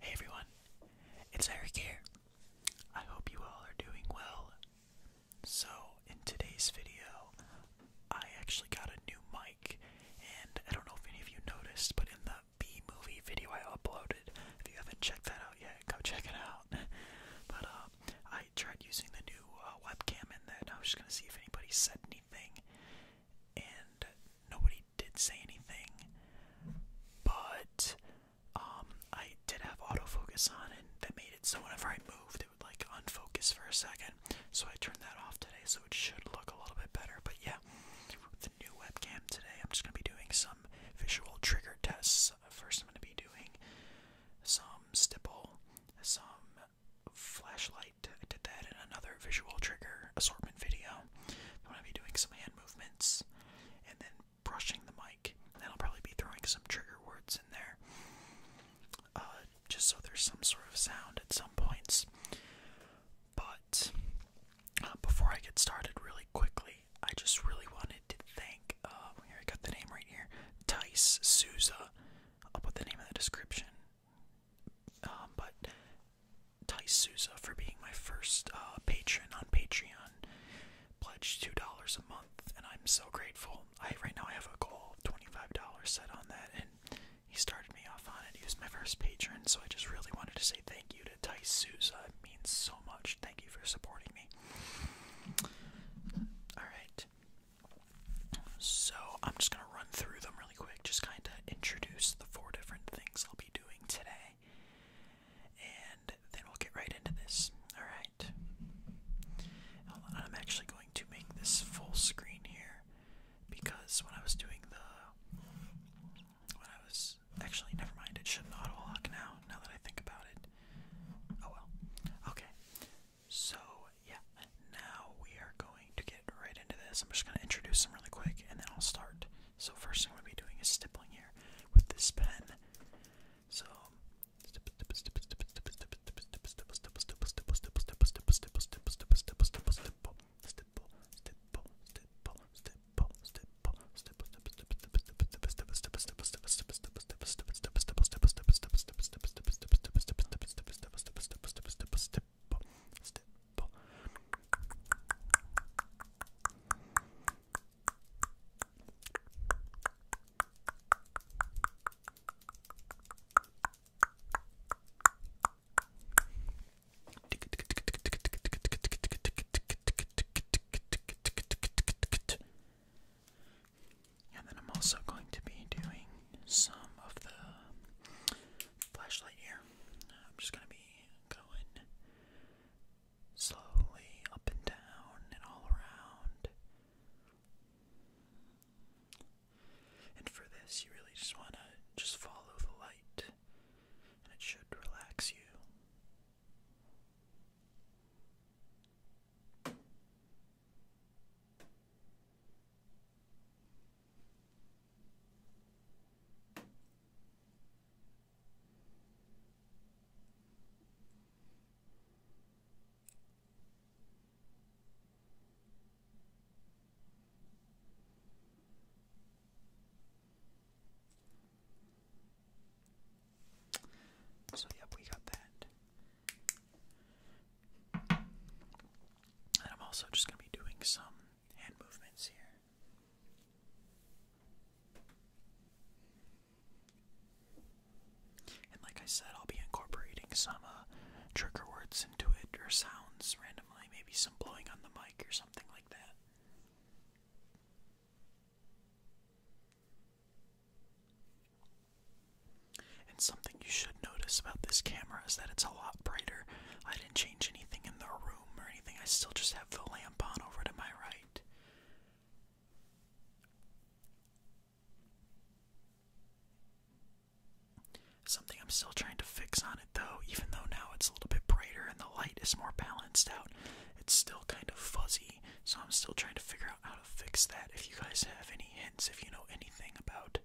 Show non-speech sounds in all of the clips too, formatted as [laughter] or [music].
Hey everyone, it's Eric here. I hope you all are doing well. So, in today's video, I actually got a new mic, and I don't know if any of you noticed, but in the B movie video I uploaded, if you haven't checked that out yet, go check it out. [laughs] but um, I tried using the new uh, webcam in that, I was just gonna see if anybody said anything, and nobody did say anything. But um, I did have autofocus on, and that made it so whenever I moved, it would like unfocus for a second. So I turned that off today, so it should look a little bit better. But yeah, the new webcam today, I'm just gonna be doing some visual trigger tests. First, I'm gonna be doing some stipple, some flashlight I did that in another visual trigger assortment video. I'm going to be doing some hand movements and then brushing the mic. then I'll probably be throwing some trigger words in there. Uh, just so there's some sort of sound at some points. But uh, before I get started, really quickly, I just really wanted to thank, uh, here I got the name right here, Tice Souza. I'll put the name in the description um, but Ty for being my first uh, patron on Patreon pledged two dollars a month, and I'm so grateful. I right now I have a goal of twenty five dollars set on that, and he started me off on it. He was my first patron, so I just really wanted to say thank you to Ty Souza. It means so much. Thank you for supporting me. All right, so I'm just gonna run through them quick, just kind of introduce the four different things I'll be doing today, and then we'll get right into this. Alright. I'm actually going to make this full screen here because when I was doing the. When I was. Actually, never mind, it should auto lock now, now that I think about it. Oh well. Okay. So, yeah, now we are going to get right into this. I'm just going to introduce them really quick and then I'll start. So, first thing I'm going to be doing is stippling here with this pen. So, and then I'm also going to be doing some of the flashlight here. I'm just gonna be going slowly up and down and all around. And for this, you really just wanna just follow the light, and it should relax you. So, yep, we got that. And I'm also just going to be doing some hand movements here. And like I said, I'll be incorporating some uh, trigger words into it or sounds randomly, maybe some blowing on the mic or something like that. And something you should notice about this camera is that it's a lot brighter. I didn't change anything in the room or anything, I still just have the lamp on over to my right. Something I'm still trying to fix on it though, even though now it's a little bit brighter and the light is more balanced out, it's still kind of fuzzy. So I'm still trying to figure out how to fix that. If you guys have any hints, if you know anything about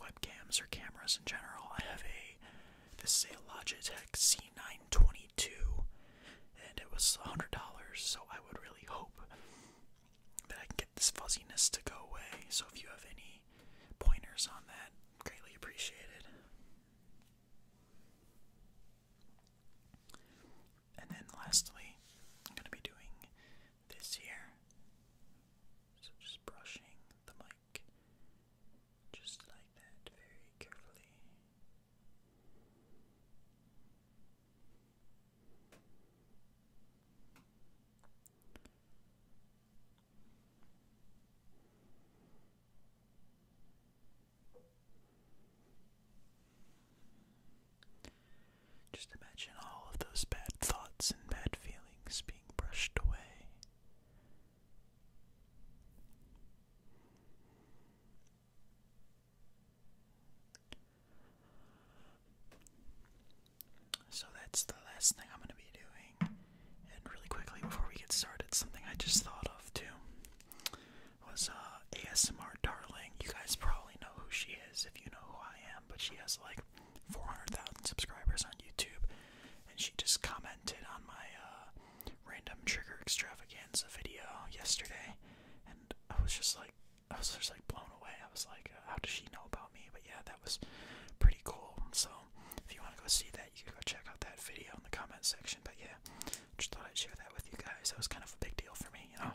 webcams or cameras in general. I have a this is a Logitech C922, and it was $100, so I would really hope that I can get this fuzziness to go away. So if you have any pointers on that, greatly appreciated. And then lastly, I'm going to be doing this here. So just brushing the mic just like that very carefully. Just imagine all of those bad thoughts and bad feelings being brushed away. So that's the last thing I'm going to be doing. And really quickly before we get started, something I just thought of too was uh, ASMR Darling. You guys probably know who she is if you know who I am, but she has like 400,000 subscribers on YouTube, and she just commented on my uh, random trigger extravaganza video yesterday, and I was just like, I was just like blown away. I was like, uh, how does she know about me? But yeah, that was pretty cool. So if you want to go see that, you can go check out that video in the comment section. But yeah, just thought I'd share that with you guys. That was kind of a big deal for me, you know.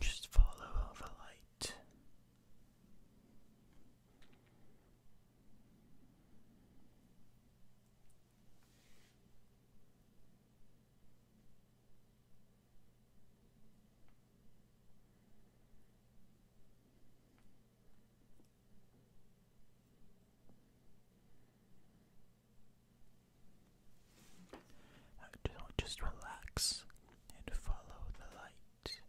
Just follow the light. Just relax and follow the light.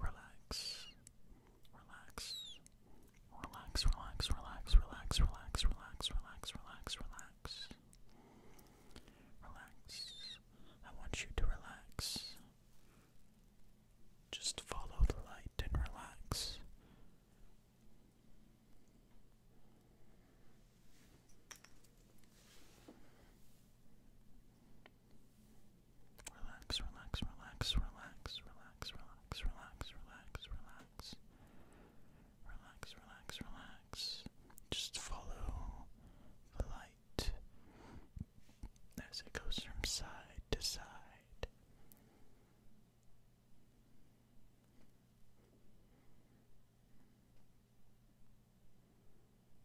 Relax, relax, relax, relax, relax, relax, relax, relax, relax, relax, relax. Relax. I want you to relax. Just follow the light and relax. Relax, relax, relax, relax, relax, relax, relax, relax, relax. Relax, relax, relax. Just follow the light as it goes from side to side.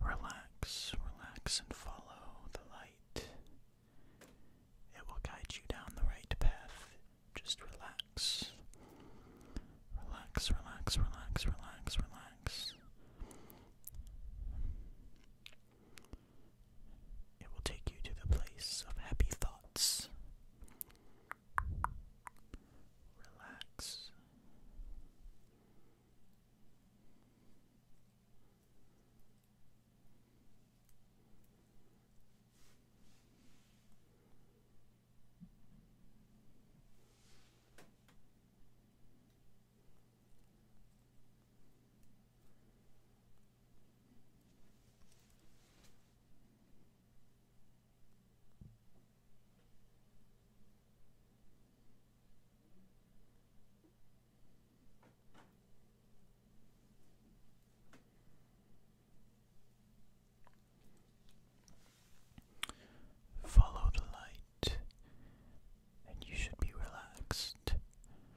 Relax, relax, and follow the light. It will guide you down the right path. Just relax. Relax, relax, relax, relax, relax. It will take you to the place of happy thoughts. Relax. Follow the light, and you should be relaxed.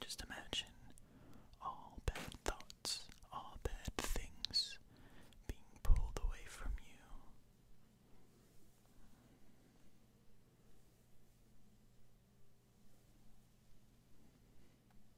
Just imagine all bad thoughts, all bad things being pulled away from you.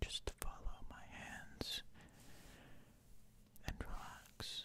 Just follow my hands and relax.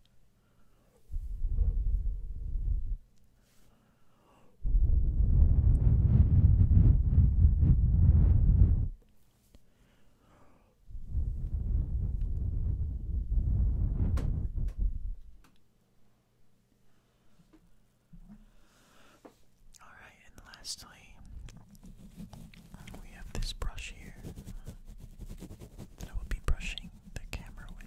All right, and lastly, we have this brush here that I will be brushing the camera with.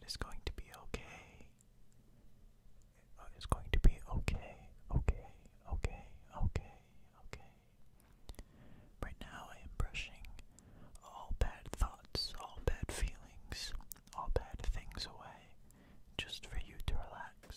It is going to be okay. It is going to be okay, okay, okay, okay, okay. Right now I am brushing all bad thoughts, all bad feelings, all bad things away, just for you to relax.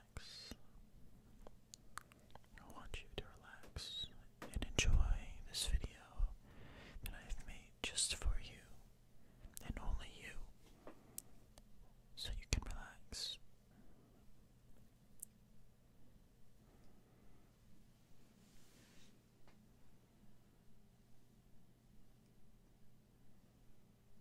I want you to relax and enjoy this video that I have made just for you and only you, so you can Relax.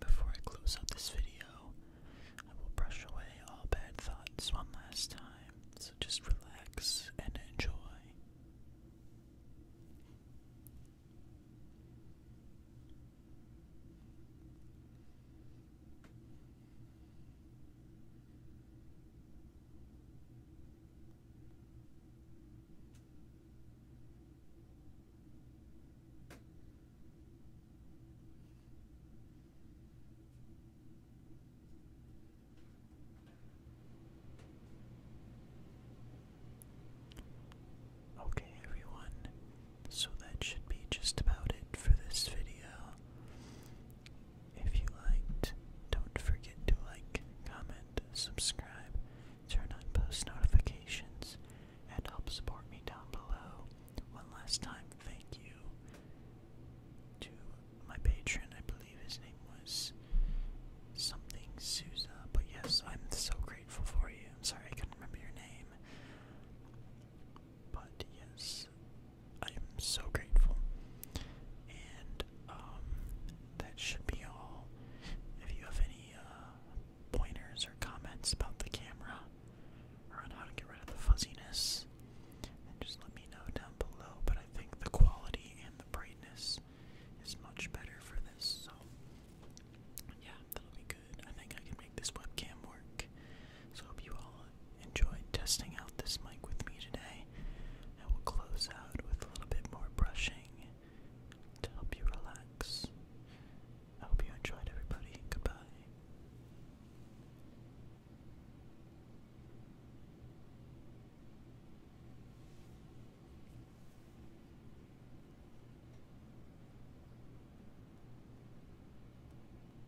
Before I close out this video, I will brush away all bad thoughts one last time, so just relax and enjoy. Okay, everyone, so that should be just about it for this video. If you liked, don't forget to like, comment, subscribe, turn on post notifications, and help support me down below. One last time, thank you to my patron. I believe his name was something Souza, but yes, I'm so grateful for you. sorry I couldn't remember your name. But yes, I am so grateful. And um, that should be all. If you have any uh, pointers or comments about the camera or on how to get rid of the fuzziness, just let me know down below. But I think the quality and the brightness is much better for this. So yeah, that'll be good. I think I can make this webcam work. So hope you all Enjoy testing out this mic with me today. I will close out with a little bit more brushing to help you relax. I hope you enjoyed, everybody. Goodbye.